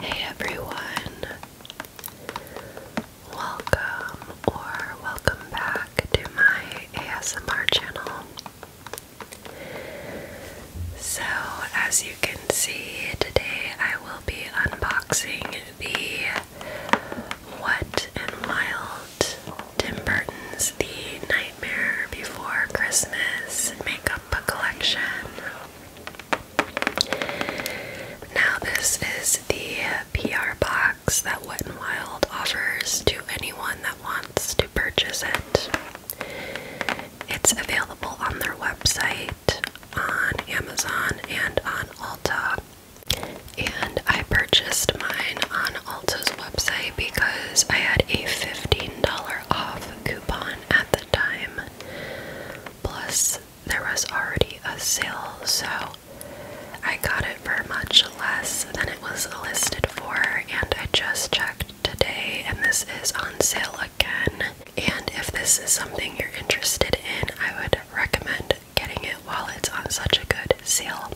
Hey everyone, welcome or welcome back to my ASMR channel. So, as you can see, today I will be unboxing the What and Wild Tim Burton's The Nightmare Before Christmas makeup collection. Now, this is the PR box that Wet n Wild offers to anyone that wants to purchase it. It's available on their website on Amazon and on Alta, And I purchased mine on Alta's website because I had a $15 off coupon at the time. Plus, there was already a sale, so I got it for much less than it was listed for. And I just checked today, and this is on sale again. And if this is something you're interested in, I would recommend getting it while it's on such a good sale.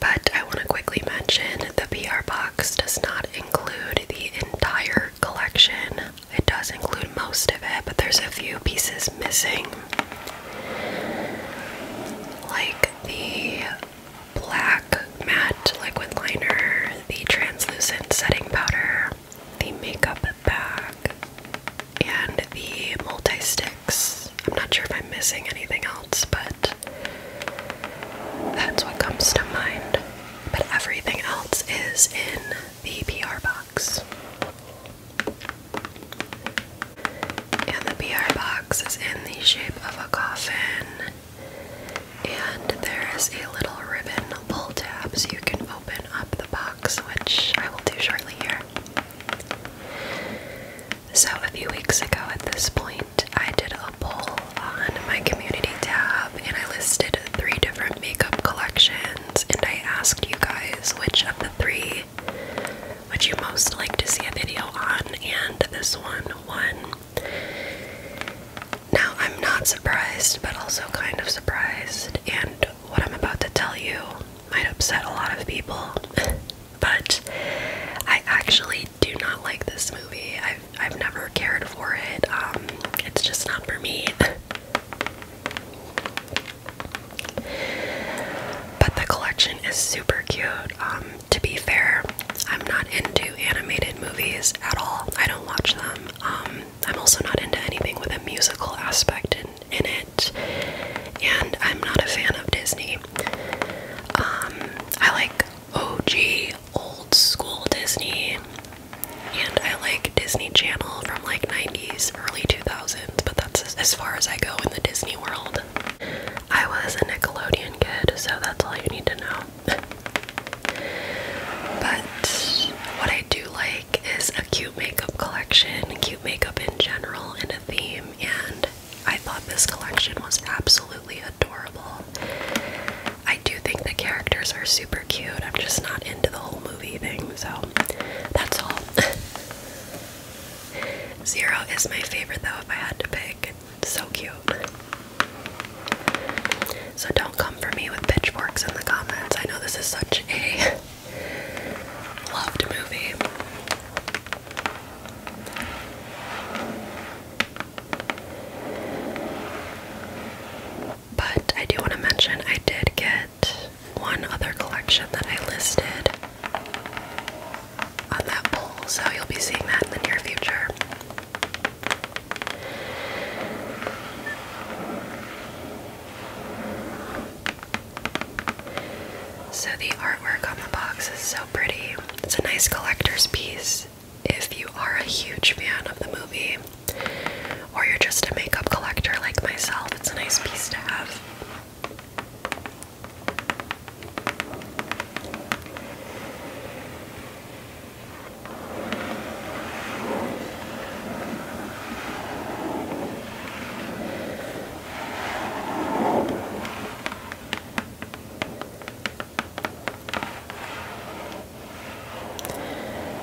But I want to quickly mention the PR box does not include the entire collection. It does include most of it, but there's a few pieces missing. Like the black matte liquid liner, the translucent setting powder, the makeup bag, and the multi sticks. I'm not sure if I'm missing anything else, but that's what comes to mind. But everything else is in the PR box. And the PR box is in the shape of a coffin and there is a little ribbon pull tab so you can open up the box, which I will do shortly here. So, a few weeks ago at this point, I did a poll on my community tab and I listed three different makeup collections and I asked you guys which of the three would you most like to see a video on, and this one won. Now, I'm not surprised, but also kind of surprised, and what I'm about to tell you might upset a lot of people, but I actually do not like this movie. I've, I've never cared for it, um, it's just not for me. But the collection is super cute. Um, to be fair, I'm not into animated movies at all. I don't watch them. Um, I'm also not into anything with a musical aspect in, in it, and I'm not a fan of Disney. Um, I like OG old school Disney, and I like Disney Channel from like 90s, early 2000s, but that's as far as I go in the Disney world. I was a Nickelodeon kid, so that's all you need to know. But what I do like is a cute makeup collection, cute makeup in general, and a theme. And I thought this collection was absolutely adorable. I do think the characters are super cute. I'm just not into the whole movie thing, so that's all. Zero is my favorite, though, if I had to pick so cute. So don't come for me with pitchforks in the comments. I know this is such a loved movie. But I do want to mention I did get one other collection that I listed on that poll, so you'll be seeing that in the near future. So, the artwork on the box is so pretty. It's a nice collector's piece if you are a huge fan of the movie or you're just a makeup collector like myself. It's a nice piece to have.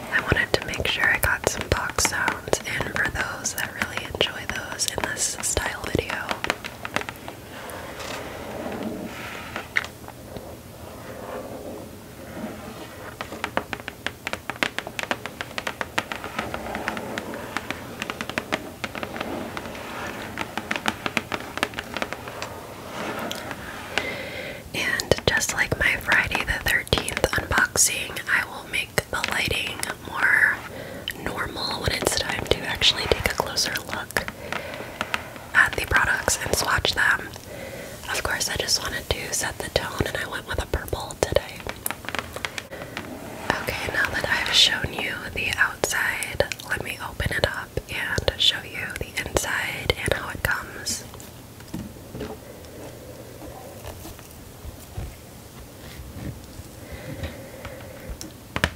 I wanted to make sure I got some box sounds in for those that really enjoy those in this style video. And just like my Friday the 13th unboxing, I will make the lighting more normal when it's time to actually take a closer look at the products and swatch them. Of course, I just wanted to set the tone and I went with a purple today. Okay, now that I've shown you the outside, let me open it up and show you the inside and how it comes.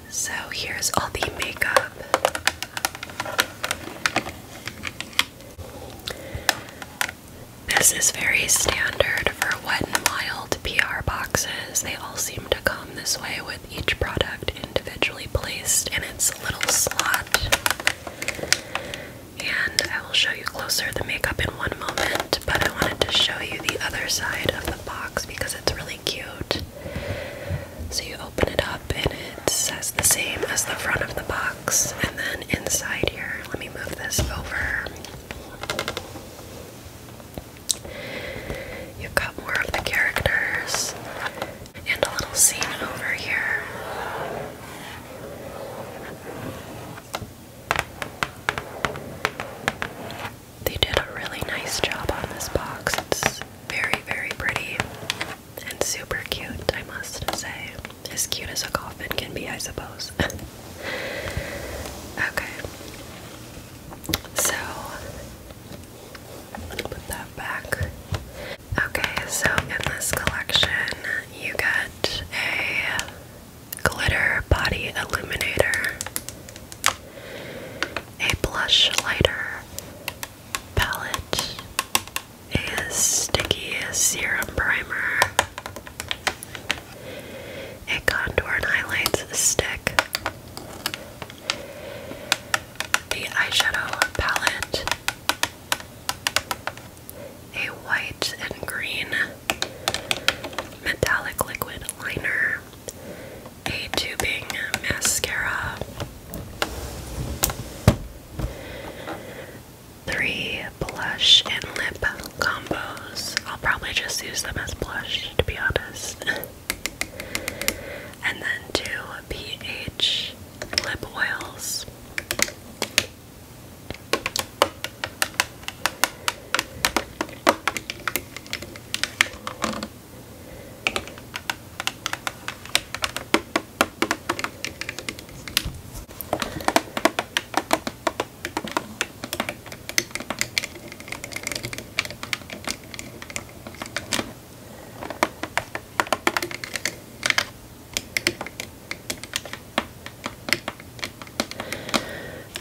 So, here's all the makeup this is very standard for what n Wild PR boxes. They all seem to come this way with each product individually placed in its little slot. And I will show you closer the makeup in one moment, but I wanted to show you the other side of the box because it's really cute. So you open it up and it says the same as the front of the box. And then inside here, let me move this over. You've got more of the characters and a little scene over here. They did a really nice job on this box. It's very, very pretty and super cute, I must say. As cute as a coffin can be, I suppose. okay. So, put that back. Okay, so in this collection, you get a glitter body illuminator, a blush lighter palette, a Sticky Serum Primer, a contour and highlights stick, the eyeshadow palette, a white and green metallic liquid liner, a tubing mascara. Three blush and lip combos. I'll probably just use them as blush, to be honest. and then two pH lip oils.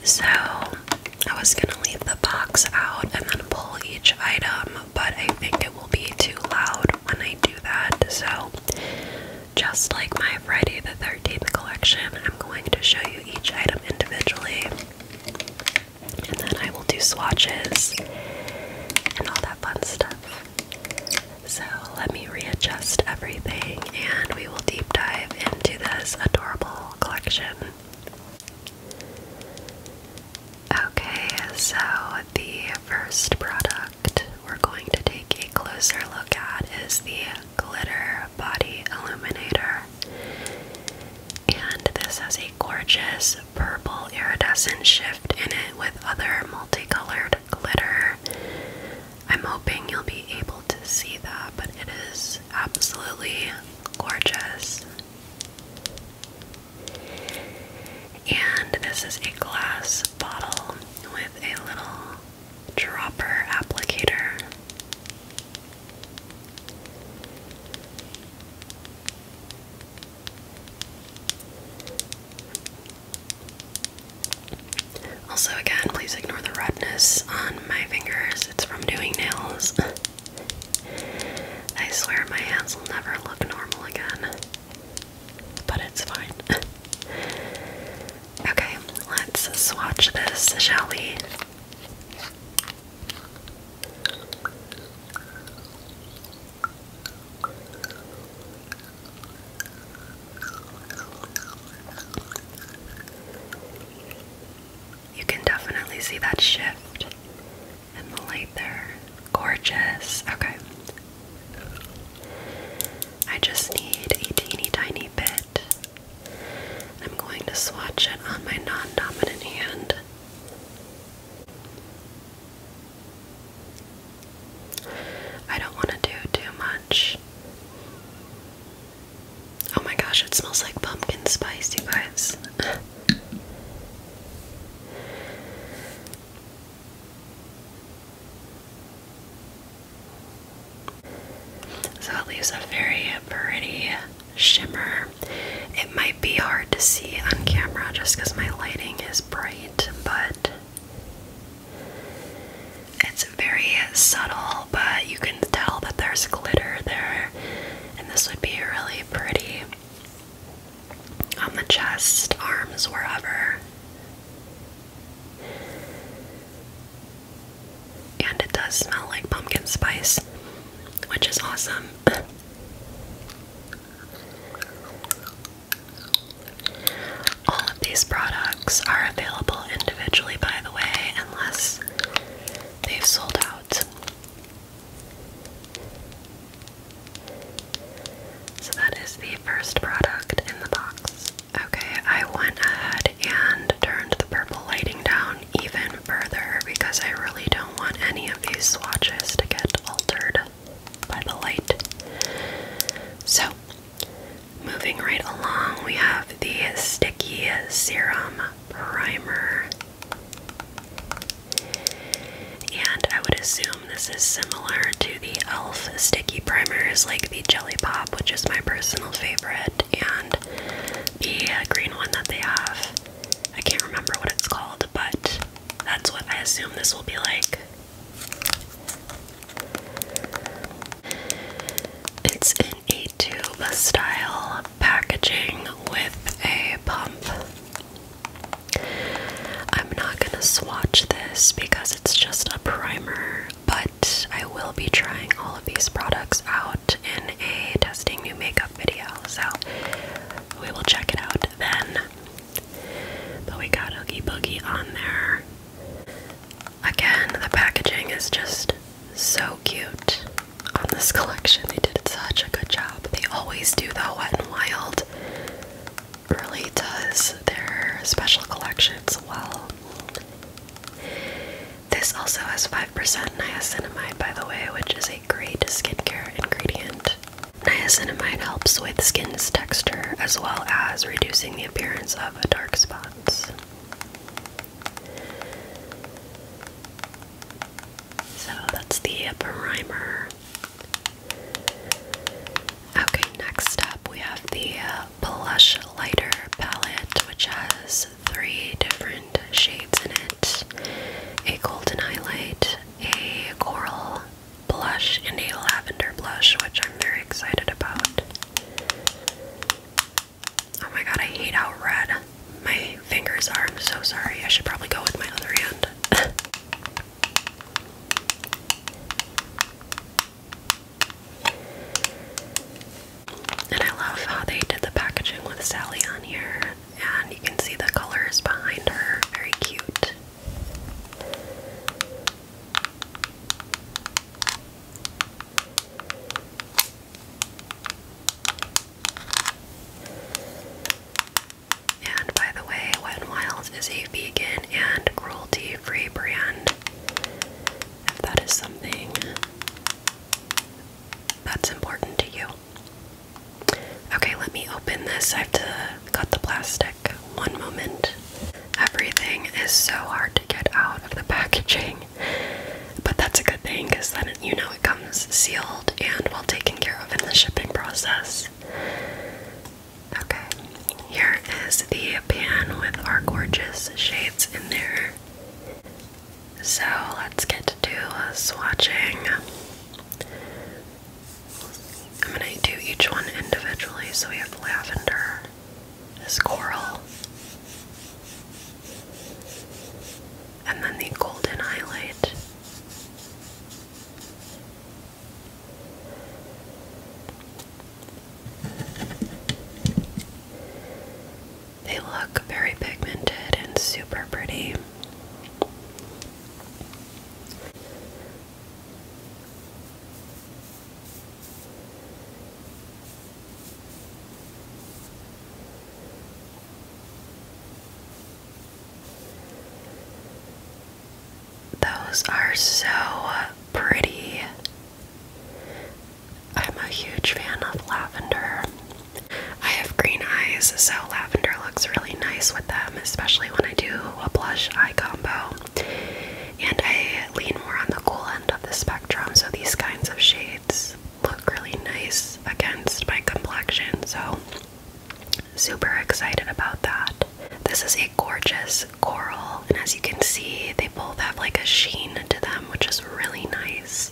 So, I was going to leave the box out and then pull each item, but I think it will be too loud when I do that. So, just like my Friday the 13th collection, I'm going to show you each item individually. And then I will do swatches and all that fun stuff. So, let me readjust everything and we will deep dive into this adorable collection. Okay, so the first product we're going to take a closer look at is the Glitter Body Illuminator. And this has a gorgeous purple iridescent shift in it with other multicolored glitter. I'm hoping you'll be able to see that, but it is absolutely gorgeous. And this is a glass bottle with a little dropper applicator. Also, again, please ignore the redness on my fingers. It's from doing nails. I swear my hands will never look normal again but it's fine. okay, let's swatch this, shall we? You can definitely see that shift and the light there. Gorgeous. Okay. I just need a teeny tiny bit. I'm going to swatch it on my non dominant hand. I don't want to do too much. Oh my gosh, it smells like pumpkin spice, you guys. So it leaves a very pretty shimmer. It might be hard to see on camera just because my lighting is bright, but it's very subtle, but you can tell that there's glitter there, and this would be really pretty on the chest, arms, wherever. And it does smell like pumpkin spice, which is awesome. All of these products are available individually, by the way, unless they've sold out. So that is the first product in the box. Okay, I went ahead and turned the purple lighting down even further because I really don't want any of these swatches to get altered by the light. So, moving right along, we have the Sticky Serum Primer. And I would assume this is similar to the e.l.f. sticky primers, like the Jelly Pop, which is my personal favorite, and the green one that they have. I can't remember what it's called, but that's what I assume this will be like. It's in a tube style packaging with a pump. I'm not gonna swatch this because it's just a primer, but I will be trying all of these products out in a testing new makeup video, so we will check it out then. But we got Oogie Boogie on there. Again, the packaging is just so cute on this collection. They did such a good job. They always do, though, Wet and Wild really does their special collections well. This also has 5% niacinamide, by the way, which is a great skincare ingredient. Niacinamide helps with skin's texture as well as reducing the appearance of dark spots. So that's the primer. Okay, next up we have the Blush Lighter palette, which has three different shades in it a golden highlight, a coral blush, and a lavender blush, which I'm very excited about. Oh my god, I hate how red my fingers are. I'm so sorry. I should probably go with my other hand. And I love how they did the packaging with Sally on here, and you can see the colors behind her. Very cute. And by the way, Wet n Wild is a vegan and cruelty free brand. If that is something that's important to you. Okay, let me open this. I have to cut the plastic. One moment. Everything is so hard to get out of the packaging, but that's a good thing because then you know it comes sealed and well taken care of in the shipping process. Okay, here is the pan with our gorgeous shades in there. So let's get to uh, swatching. I'm gonna do each one individually. So we have lavender, this coral, and then the golden highlight. They look very pigmented and super pretty. Those are so pretty. I'm a huge fan of lavender. I have green eyes, so lavender looks really nice with them, especially when I do a blush eye combo. And I lean more on the cool end of the spectrum, so these kinds of shades look really nice against my complexion. So Super excited about that. This is a gorgeous coral, and as you can see, they both have like a sheen to them, which is really nice.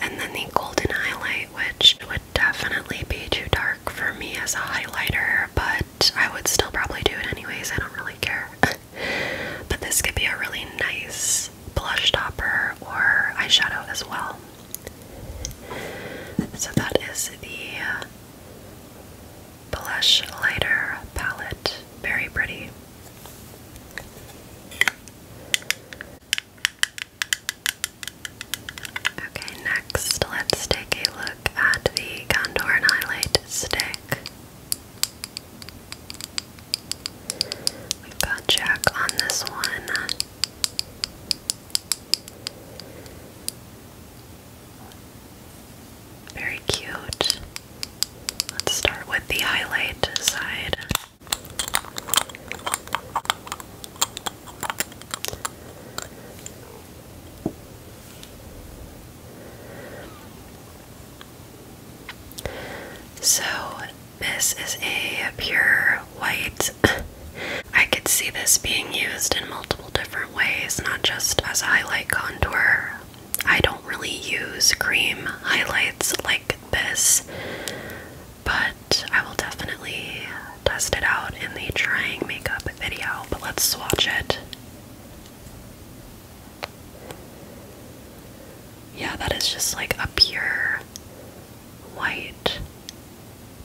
And then the golden highlight, which would definitely be too dark for me as a highlighter, but I would still probably do it anyways, I don't really care. but this could be a really nice blush topper or eyeshadow as well. So that is the Blush Lighter Palette. Very pretty. Okay, next let's take a look at the contour highlight stick. We've got Jack on this one. Very cute. Let's start with the highlight side. So, this is a pure white I could see this being used in multiple different ways, not just as a highlight contour. I don't really use cream highlights like this, but I will definitely test it out in the trying makeup video. But let's swatch it. Yeah, that is just like a pure white.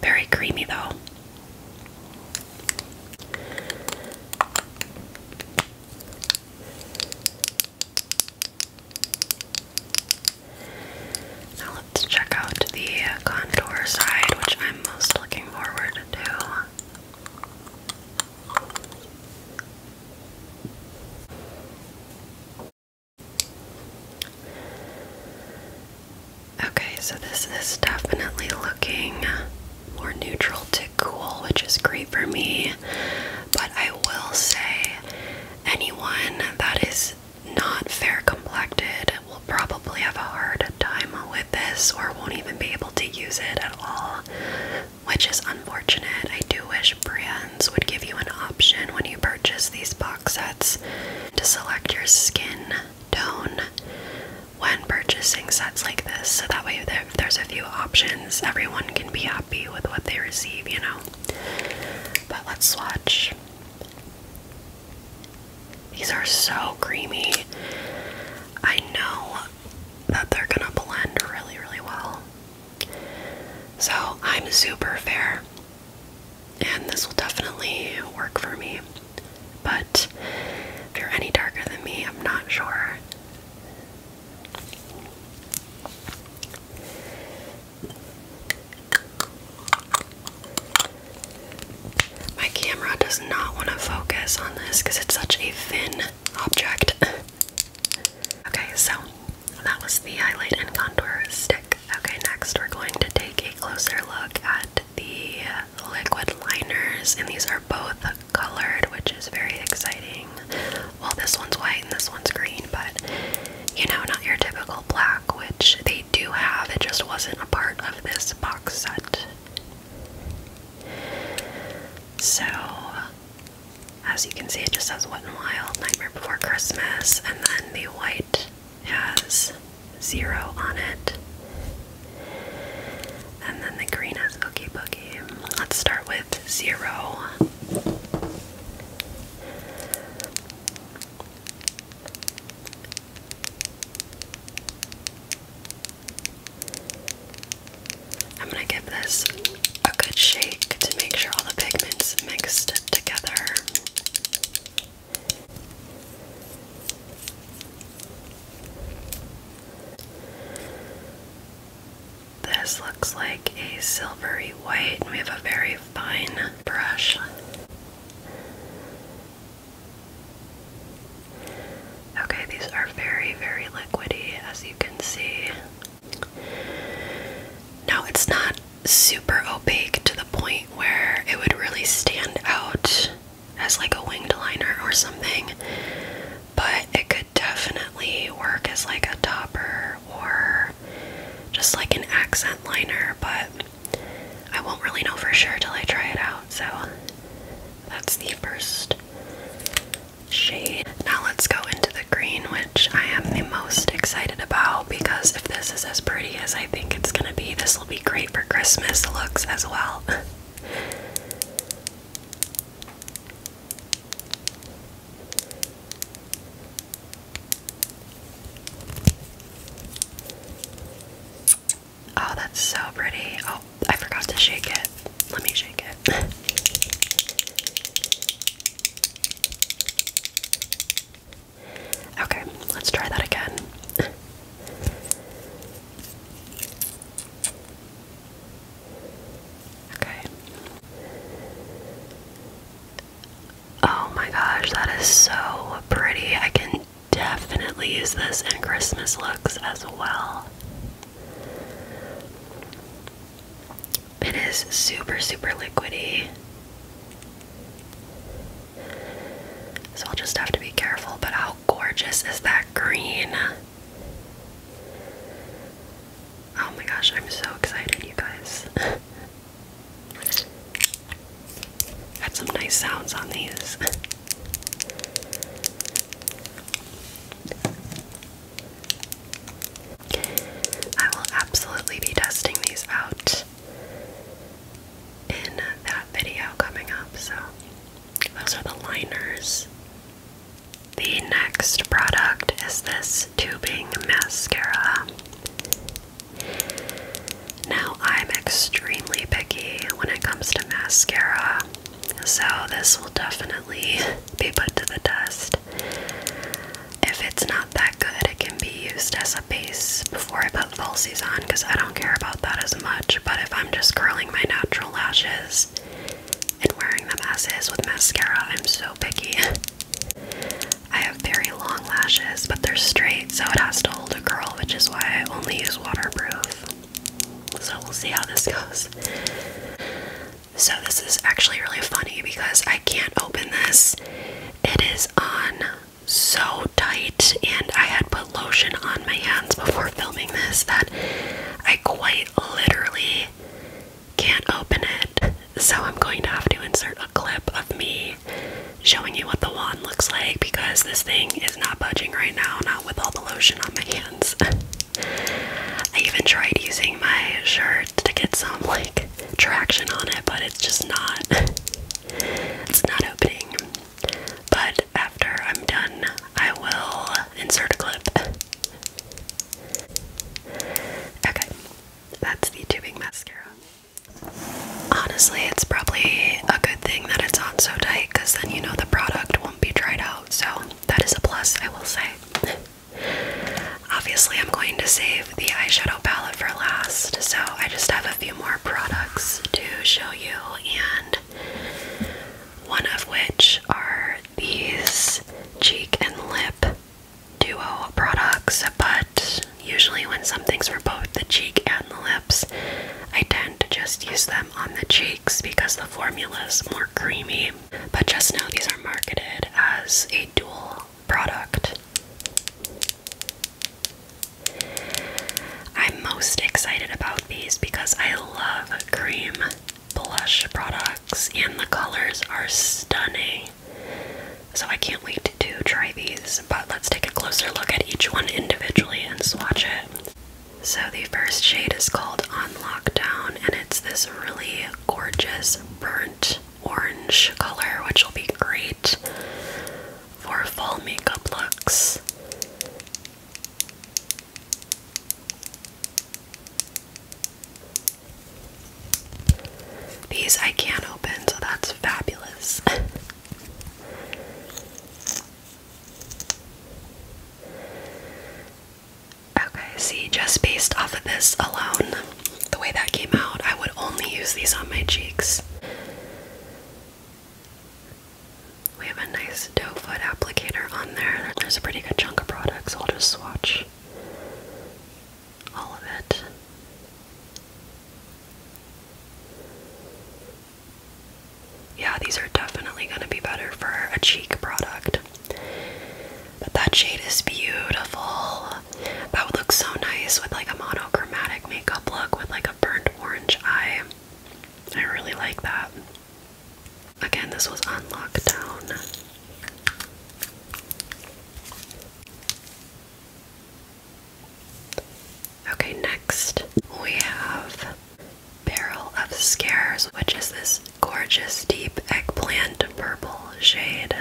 Very creamy though. Now let's check out the contour side, which I'm most looking forward to. Okay, so this is definitely looking more neutral to cool, which is great for me. But I will say, anyone that is not fair complected will probably have a hard time with this or won't even be able to use it at all, which is unfortunate. I do wish brands would give you an option when you purchase these box sets to select your skin tone when purchasing sets like this so that way there, there's a few options everyone can be happy with what they receive you know but let's swatch these are so creamy i know that they're gonna blend really really well so i'm super fair and this will definitely work for me but if you're any darker than me, I'm not sure. My camera does not want to focus on this because it's such a thin object. okay, so that was the highlight and contour stick. Okay, next we're going to take a closer look at the liquid liners, and these are both colored, which is very exciting. Well, this one's white and this one's green, but you know, not your typical black, which they do have, it just wasn't a part of this box set. So, as you can see, it just says Wet n Wild, Nightmare Before Christmas, and then the white has zero on it. And then the green is Oogie Boogie. Let's start with zero. I'm going to give this a good shake to make sure all the pigments mixed together. This looks like a silvery white, and we have a very fine brush. Okay, these are very, very liquidy, as you can see. Now, it's not super opaque to the point where it would really stand out as like a winged liner or something, but it could definitely work as like a topper or just like an accent liner, but I won't really know for sure till I try it out. So that's the first shade. Now let's go into the green, which I am the most excited about because if this is as pretty as I think it's gonna be, this will be great for Christmas looks as well. Oh, that's so pretty. Oh, I forgot to shake it. Let me shake it. Okay, let's try that again. Okay. Oh my gosh, that is so pretty. I can definitely use this in Christmas looks as well. It is super, super liquidy. So I'll just have to be careful. But how gorgeous is that green? Oh my gosh, I'm so excited, you guys. Got some nice sounds on these. I will absolutely be testing these out in that video coming up, so those are the liners. The next product is this tubing mascara. Now, I'm extremely picky when it comes to mascara, so this will definitely be put to the test. If it's not that good, it can be used as a base before I put have on because I don't care about that as much. But if I'm just curling my natural lashes and wearing them as is with mascara, I'm so picky. I have very long lashes, but they're straight, so it has to hold a curl, which is why I only use waterproof. So we'll see how this goes. So, this is actually really funny because I can't open this. It is on so tight, and I had lotion on my hands before filming this that I quite literally can't open it. So I'm going to have to insert a clip of me showing you what the wand looks like because this thing is not budging right now, not with all the lotion on my hands. I even tried using my shirt to get some like traction on it, but it's just not it's not opening. But after I'm done, I will insert a clip. okay, that's the tubing mascara. Honestly, it's probably a good thing that it's on so tight because then you know the product won't be dried out, so that is a plus, I will say. Obviously, I'm going to save the eyeshadow palette for last, so I just have a few more products to show you, and one of which are these cheek and lip duo products, but usually when something's for both the cheek and the lips, I tend to just use them on the cheeks because the formula is more creamy. But just now, these are marketed as a dual product. I'm most excited about these because I love cream blush products and the colors are stunning. So I can't wait to try these, but let's take a closer look at each one individually and swatch it. So the first shade is called On Lockdown and it's this really gorgeous burnt orange color which will be great for fall makeup looks. These I can open, so that's fabulous. okay, see, just based off of this alone, the way that came out, I would only use these on my cheeks. We have a nice doe foot applicator on there. There's a pretty good chunk of products. I'll just swatch all of it. Yeah, these are definitely going to be better for a cheek product. But that shade is beautiful. That would look so nice with like a monochromatic makeup look with like a burnt orange eye. I really like that. Again, this was unlocked down. Okay, next we have Barrel of Scares, which is this gorgeous deep eggplant purple shade.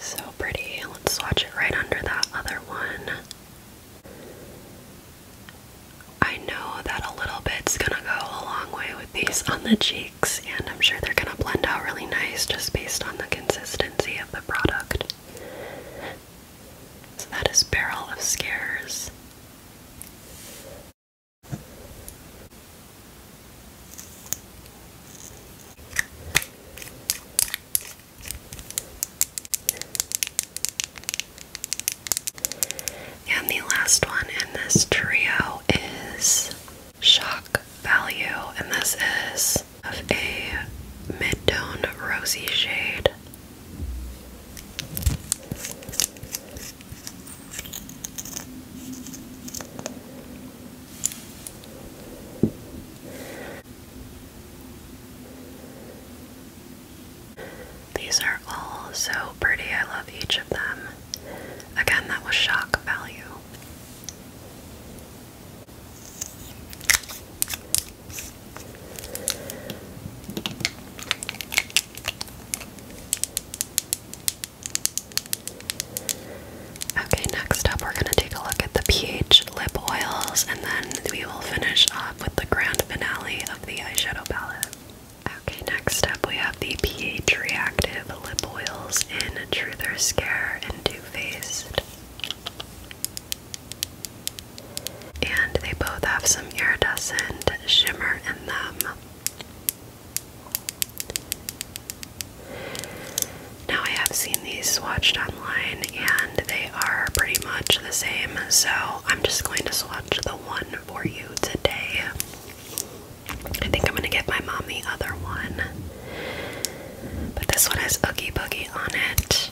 So pretty. Let's swatch it right under that other one. I know that a little bit's gonna go a long way with these on the cheeks, and I'm sure they're gonna blend out really nice just based on the consistency of the product. So that is Barrel of Scares. And the last one in this trio is Shock Value, and this is of a mid tone rosy shade. These are all so pretty. I love each of them. Again, that was shock value. Okay, next up, we're going to take a look at the peach lip oils and then we will finish up with the grand finale of the eyeshadow palette. Okay, next up we have the pH reactive lip oils in Truth Scare and Too Faced. And they both have some iridescent shimmer in them. Now, I have seen these swatched online and they are pretty much the same, so I'm just going to swatch the one for you today. I think I'm gonna give my mom the other one. But this one has Oogie Boogie on it.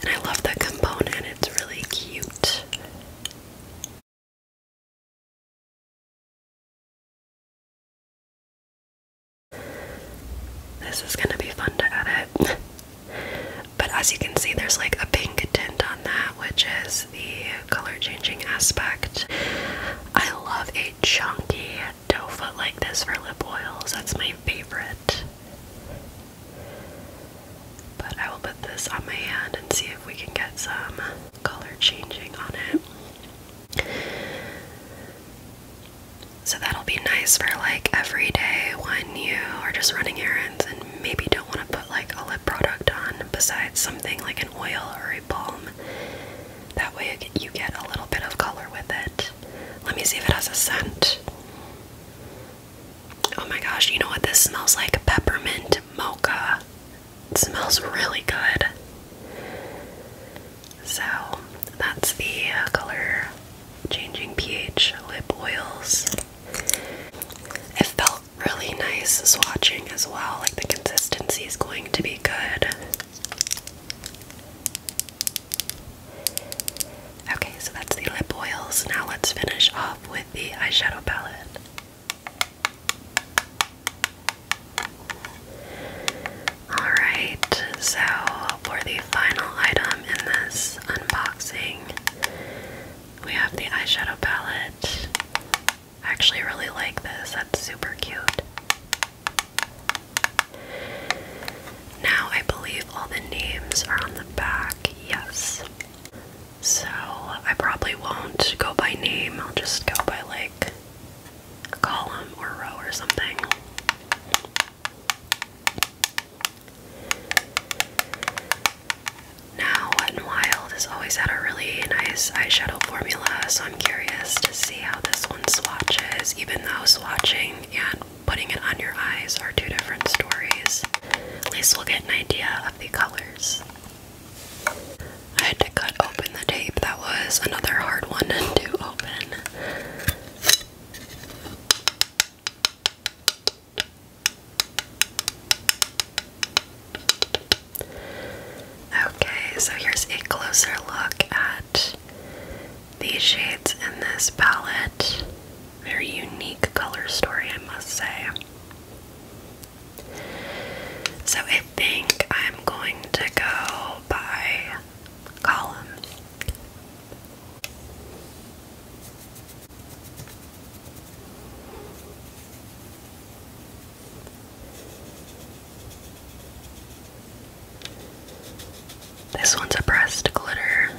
And I love the component, it's really cute. This is gonna be fun to edit. But as you can see, there's like a pink tint on that, which is the color changing aspect. I love a chunky doe foot like this for lip oils, that's my favorite. But I will put this on my hand and see if we can get some color changing on it. So that'll be nice for like every day when you are just running errands and maybe don't want to put like a lip product on besides something like an oil or a balm. That way you get a little bit of color with it. Let me see if it has a scent. Oh my gosh, you know what? This smells like peppermint mocha. It smells really good. So, that's the uh, color changing pH lip oils. It felt really nice swatching as well. Like the consistency is going to be good. Okay, so that's the lip oils. Now let's finish off with the eyeshadow palette. Alright, so for the final item in this unboxing, we have the eyeshadow palette. I actually really like this, that's super cute. Now I believe all the names are on the back, yes. So I probably won't go by name, I'll just go by like column or row or something. Now, Wet n Wild has always had a really nice eyeshadow formula, so I'm curious to see how this one swatches, even though swatching and putting it on your eyes are two different stories. At least we'll get an idea of the colors. I had to cut open the tape, that was another hard one to open. Okay, so here's a closer look at these shades in this palette. Very unique color story, I must say. So I think I'm going to go by column. This one's a pressed glitter.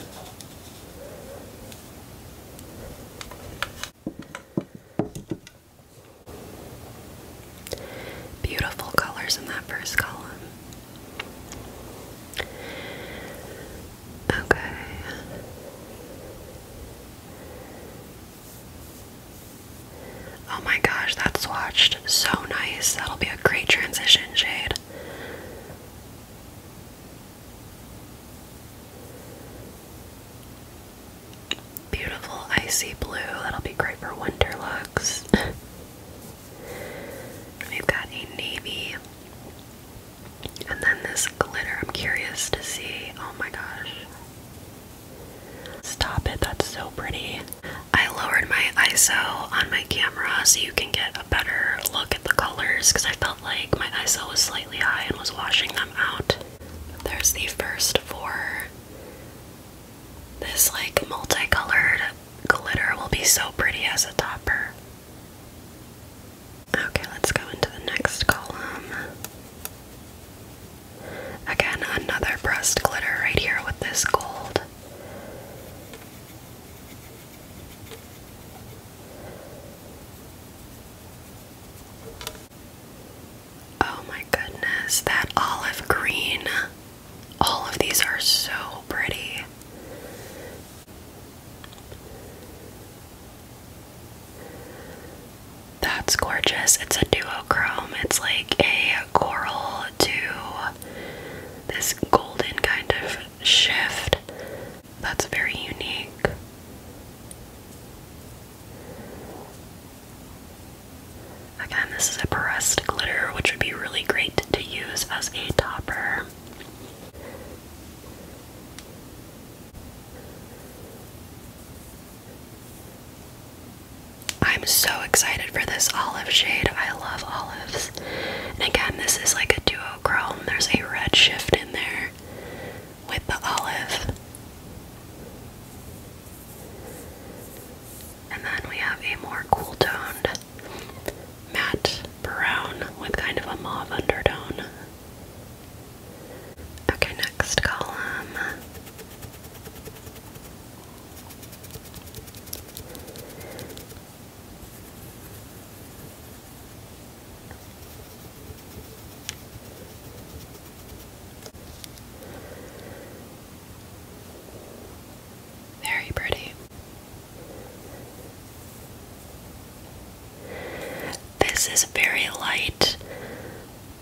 Beautiful colors in that first column. Okay. Oh my gosh, that swatched so nice. That'll be a great transition shade. Beautiful icy blue. That'll be great for winter looks. We've got a navy and then this glitter, I'm curious to see. Oh my gosh. Stop it, that's so pretty. I lowered my ISO on my camera so you can get a better look at the colors because I felt like my ISO was slightly high and was washing them out. There's the first four. This like multicolored glitter will be so pretty as a topper. Okay, let's go into the next column. Again, another pressed glitter right here with this gold. Oh my goodness, that olive green. All of these are so pretty. That's gorgeous. It's a duochrome. It's like a coral to this golden kind of shift. That's very unique. Again, this is a pressed glitter, which would be really great to use as a topper. I'm so excited for this olive shade. I love olives. And again, this is like a duochrome. There's a red shift in there with the olive. And then we have a more cool toned matte brown with kind of a mauve undertone. Okay, next column. Very pretty. This is very light,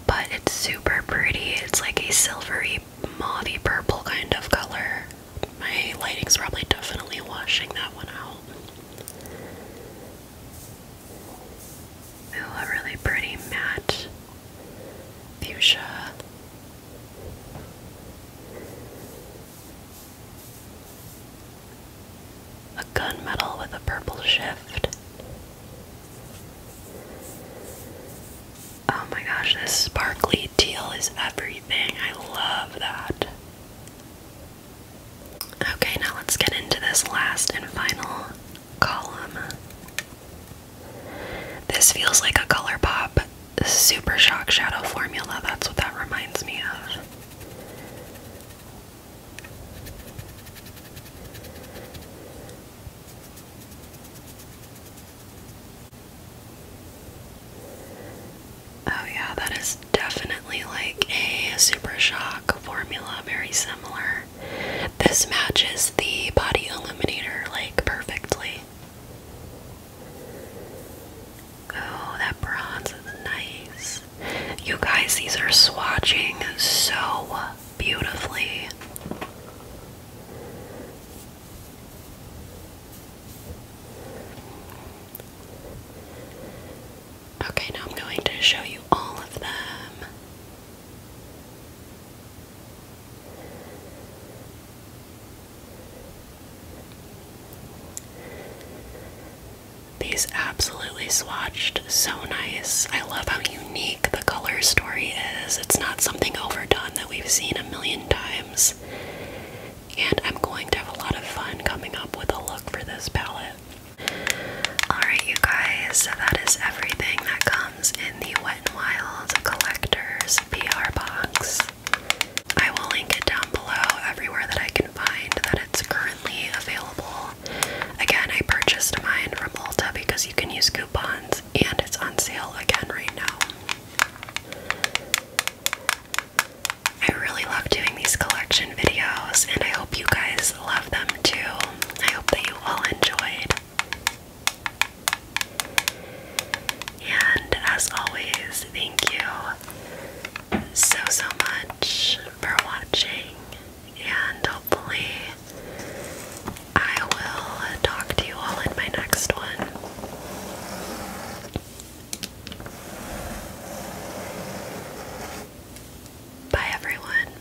but it's super pretty. It's like a silvery, mauvy purple kind of color. My lighting's probably definitely washing that one out. Ooh, a really pretty matte fuchsia. A gunmetal with a purple shift. Oh my gosh, this sparkly teal is everything. I love that. Okay, now let's get into this last and final column. This feels like a ColourPop Super Shock Shadow formula. That's what that reminds me of. Oh, yeah, that is definitely like a Super Shock formula, very similar. This matches the body illuminator like perfectly. Oh, that bronze is nice. You guys, these are swatching so beautifully. Okay, now I'm going to show you all of them. These absolutely swatched so nice. I love how unique the color story is. It's not something overdone that we've seen a million times. And I'm going to have a lot of fun coming up with a look for this palette. Alright, you guys, so that is everything that comes in the Wet n Wild Collectors PR box. I will link it down below everywhere that I can find that it's currently available. Again, I purchased mine from Ulta because you can use coupons and it's on sale again right now. I really love doing these collection videos and I hope you guys love them too. I hope that you all enjoyed. And as always, thank you so so much for watching and hopefully I will talk to you all in my next one. Bye, everyone.